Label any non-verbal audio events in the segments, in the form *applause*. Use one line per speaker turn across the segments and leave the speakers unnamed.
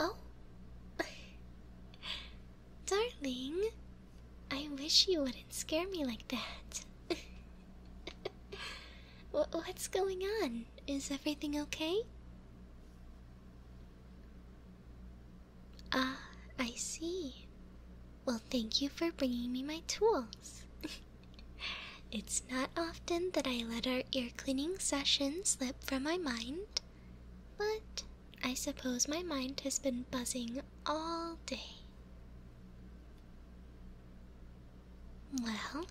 Oh, darling, I wish you wouldn't scare me like that. *laughs* What's going on? Is everything okay? Ah, I see. Well, thank you for bringing me my tools. *laughs* it's not often that I let our ear cleaning session slip from my mind, but I suppose my mind has been buzzing all day. Well,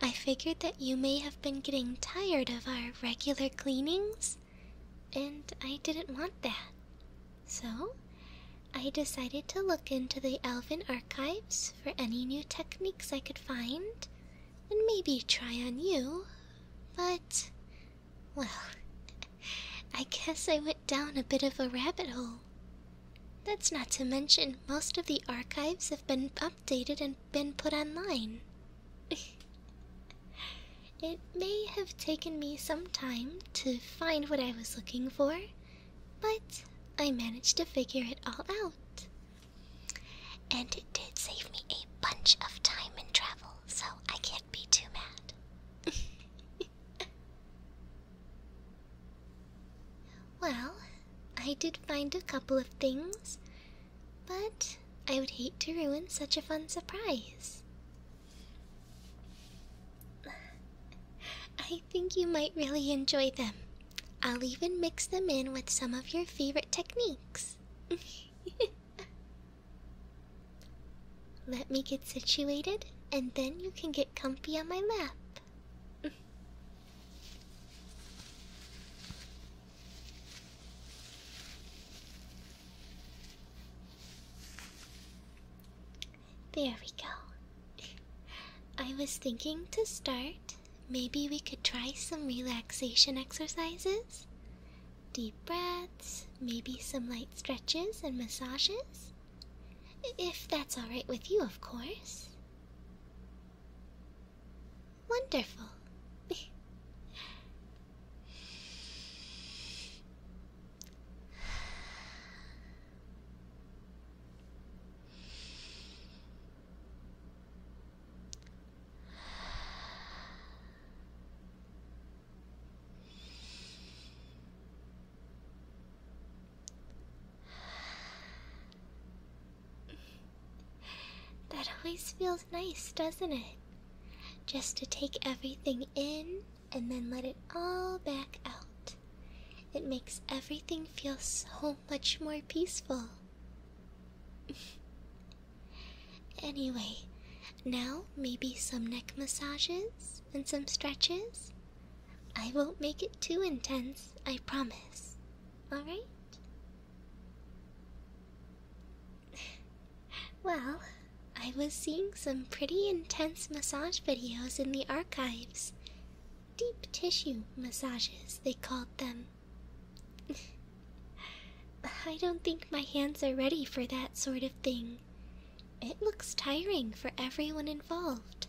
I figured that you may have been getting tired of our regular cleanings, and I didn't want that. So, I decided to look into the Alvin archives for any new techniques I could find, and maybe try on you, but. Well, *laughs* I guess I went down a bit of a rabbit hole. That's not to mention, most of the archives have been updated and been put online. *laughs* It may have taken me some time to find what I was looking for, but I managed to figure it all out. And it did save me a bunch of time and travel, so I can't be too mad. *laughs* well, I did find a couple of things, but I would hate to ruin such a fun surprise. I think you might really enjoy them. I'll even mix them in with some of your favorite techniques. *laughs* Let me get situated, and then you can get comfy on my lap. There we go. I was thinking to start, maybe we could try some relaxation exercises. Deep breaths, maybe some light stretches and massages. If that's alright with you, of course. Wonderful. *laughs* That always feels nice, doesn't it? just to take everything in and then let it all back out. It makes everything feel so much more peaceful. *laughs* anyway, now maybe some neck massages and some stretches. I won't make it too intense, I promise. Alright? well, I was seeing some pretty intense massage videos in the archives. Deep tissue massages, they called them. *laughs* I don't think my hands are ready for that sort of thing. It looks tiring for everyone involved.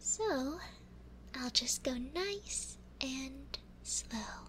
So, I'll just go nice and slow.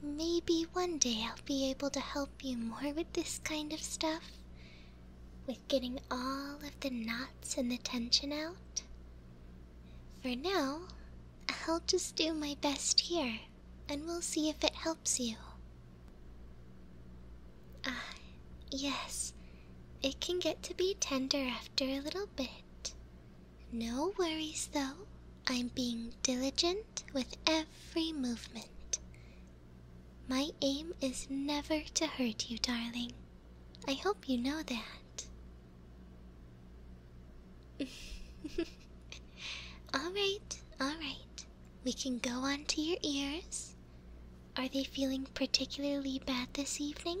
Maybe one day I'll be able to help you more with this kind of stuff. With getting all of the knots and the tension out. For now, I'll just do my best here, and we'll see if it helps you. Ah, yes, it can get to be tender after a little bit. No worries, though. I'm being diligent with every movement. My aim is never to hurt you, darling. I hope you know that. *laughs* alright, alright. We can go on to your ears. Are they feeling particularly bad this evening?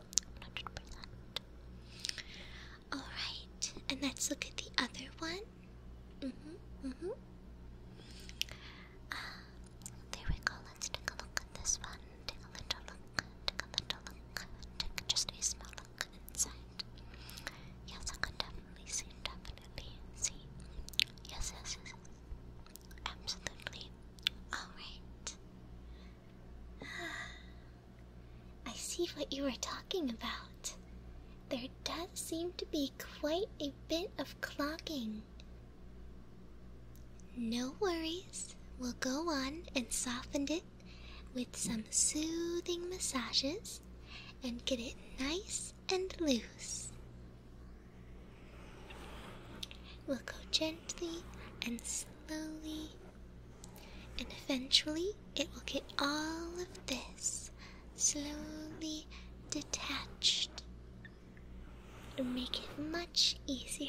100%. Alright, and let's look at the other one. hmm, hmm. Uh, there we go, let's take a look at this one. Take a little look, take a little look, take just a small look inside. Yes, I can definitely see, definitely see. yes, yes. yes. Absolutely. Alright. *gasps* I see what you are talking about. There does seem to be quite a bit of clogging. No worries, we'll go on and soften it with some soothing massages and get it nice and loose. We'll go gently and slowly slowly, and eventually it will get all of this slowly detached and make it much easier.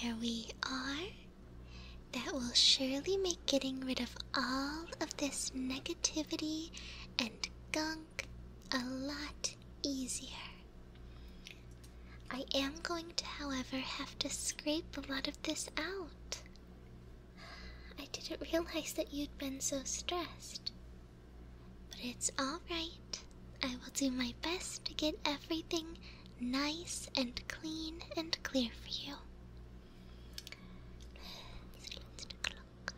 There we are. That will surely make getting rid of all of this negativity and gunk a lot easier. I am going to, however, have to scrape a lot of this out. I didn't realize that you'd been so stressed. But it's alright. I will do my best to get everything nice and clean and clear for you.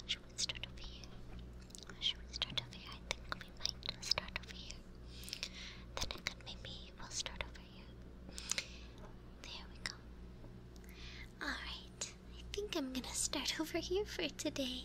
Should we start over here? Should we start over here? I think we might start over here. Then could maybe we'll start over here. There we go. Alright, I think I'm gonna start over here for today.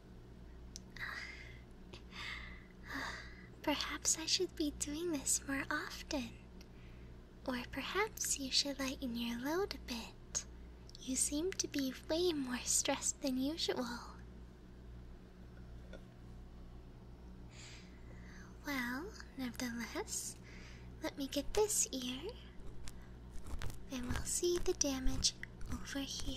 *sighs* Perhaps I should be doing this more often. Or perhaps you should lighten your load a bit. You seem to be way more stressed than usual. Well, nevertheless, let me get this ear, and we'll see the damage over here.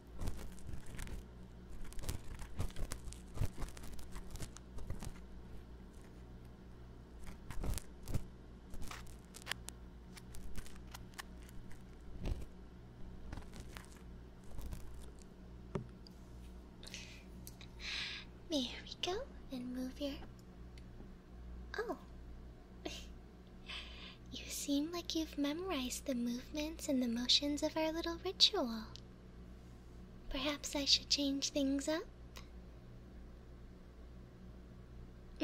There we go, and move your. Oh. *laughs* You seem like you've memorized the movements and the motions of our little ritual. Perhaps I should change things up? *laughs*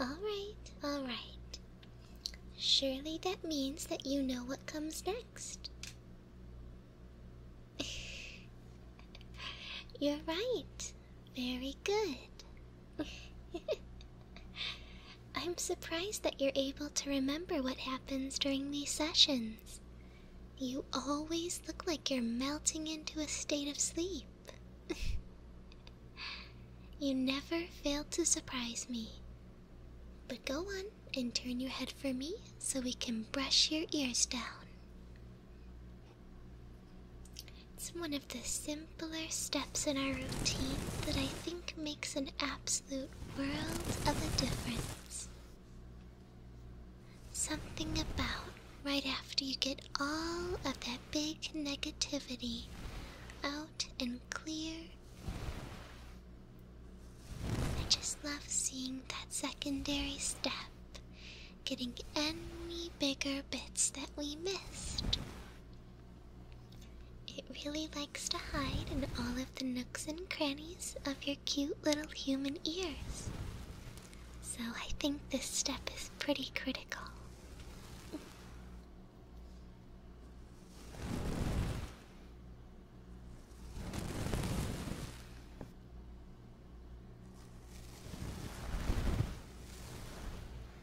alright, alright. Surely that means that you know what comes next. *laughs* You're right. Very good. *laughs* I'm surprised that you're able to remember what happens during these sessions. You always look like you're melting into a state of sleep. *laughs* you never fail to surprise me. But go on and turn your head for me so we can brush your ears down. It's one of the simpler steps in our routine that I think makes an absolute world of a difference. Something about right after you get all of that big negativity out and clear. I just love seeing that secondary step getting any bigger bits that we missed. It really likes to hide in all of the nooks and crannies of your cute little human ears. So I think this step is pretty critical.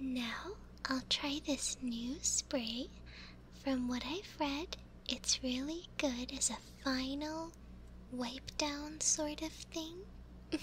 Now I'll try this new spray. From what I've read, it's really good as a final know, wipe down sort of thing. *laughs*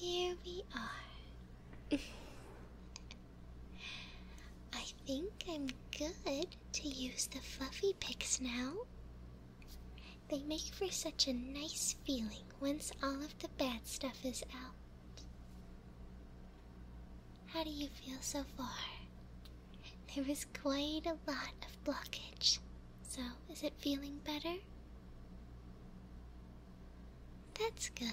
There we are. I think I'm good to use the fluffy picks now. They make for such a nice feeling once all of the bad stuff is out. How do you feel so far? There was quite a lot of blockage. So, is it feeling better? That's good.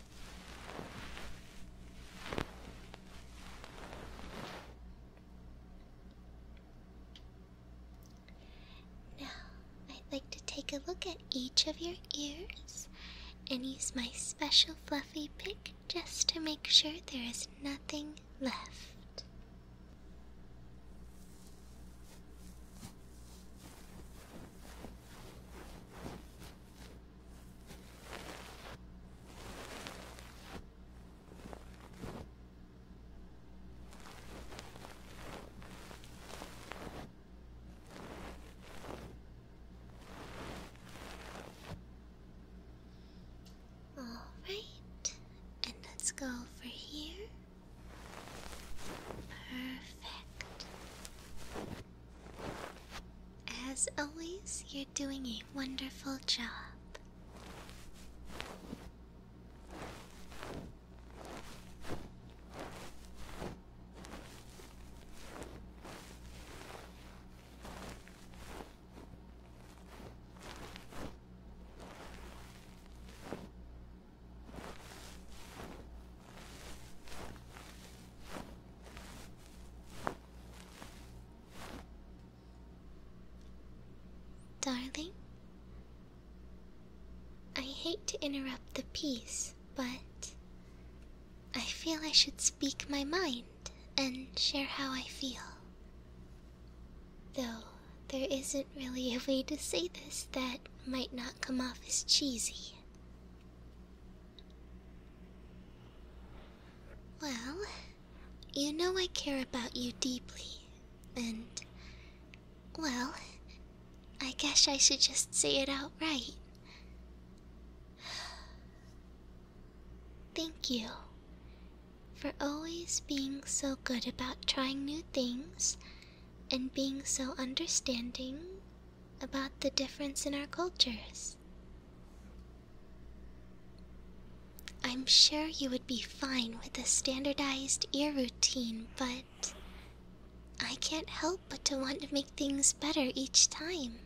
Now, I'd like to take a look at each of your ears and use my special fluffy pick just to make sure there is nothing left. All right, and let's go over here. Perfect. As always, you're doing a wonderful job. Darling, I hate to interrupt the peace, but I feel I should speak my mind and share how I feel. Though there isn't really a way to say this that might not come off as cheesy. Well, you know I care about you deeply, and. Well, I guess I should just say it outright. Thank you for always being so good about trying new things and being so understanding about the difference in our cultures. I'm sure you would be fine with a standardized ear routine, but I can't help but to want to make things better each time.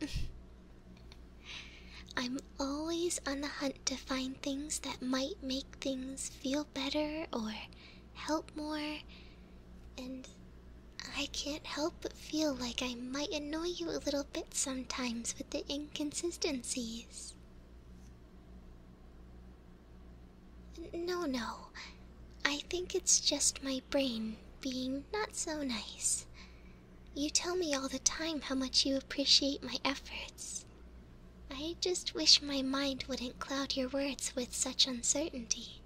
*laughs* I'm always on the hunt to find things that might make things feel better or help more, and I can't help but feel like I might annoy you a little bit sometimes with the inconsistencies. No, no. I think it's just my brain being not so nice. You tell me all the time how much you appreciate my efforts. I just wish my mind wouldn't cloud your words with such uncertainty.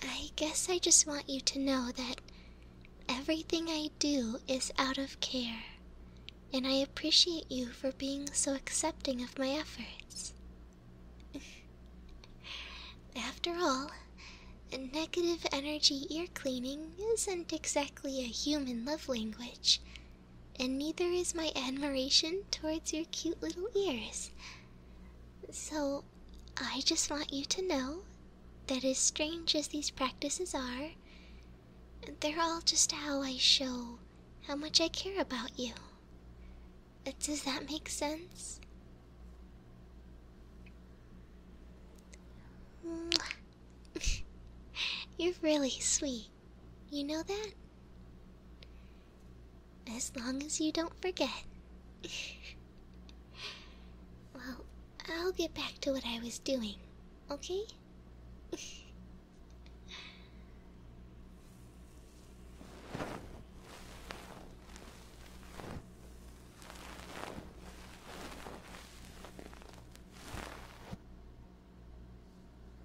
I guess I just want you to know that everything I do is out of care, and I appreciate you for being so accepting of my efforts. *laughs* After all, a negative energy ear cleaning isn't exactly a human love language, and neither is my admiration towards your cute little ears. So, I just want you to know that, as strange as these practices are, they're all just how I show how much I care about you. Does that make sense? *laughs* You're really sweet. You know that? As long as you don't forget. well, I'll get back to what I was doing, okay?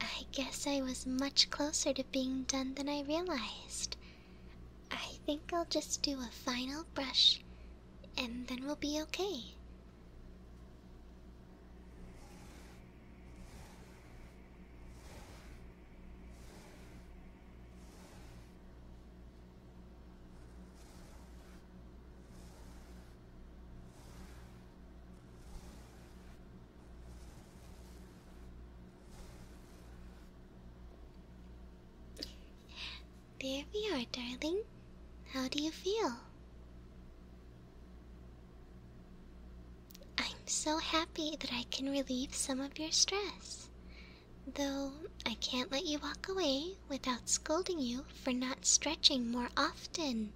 I guess I was much closer to being done than I realized. I think I'll just do a final brush and then we'll be okay. There we are, darling. How do you feel? I'm so happy that I can relieve some of your stress. Though I can't let you walk away without scolding you for not stretching more often.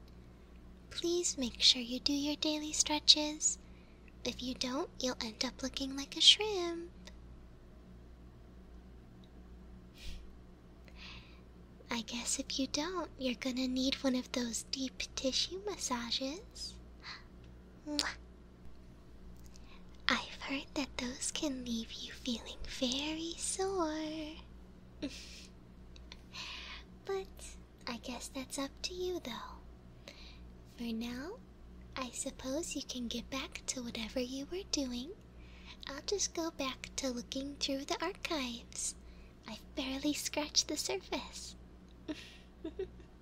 Please make sure you do your daily stretches. If you don't, you'll end up looking like a shrimp. I guess if you don't, you're gonna need one of those deep tissue massages. I've heard that those can leave you feeling very sore but I guess that's up to you, though. For now, I suppose you can get back to whatever you were doing. I'll just go back to looking through the archives. I've barely scratched the surface. *laughs*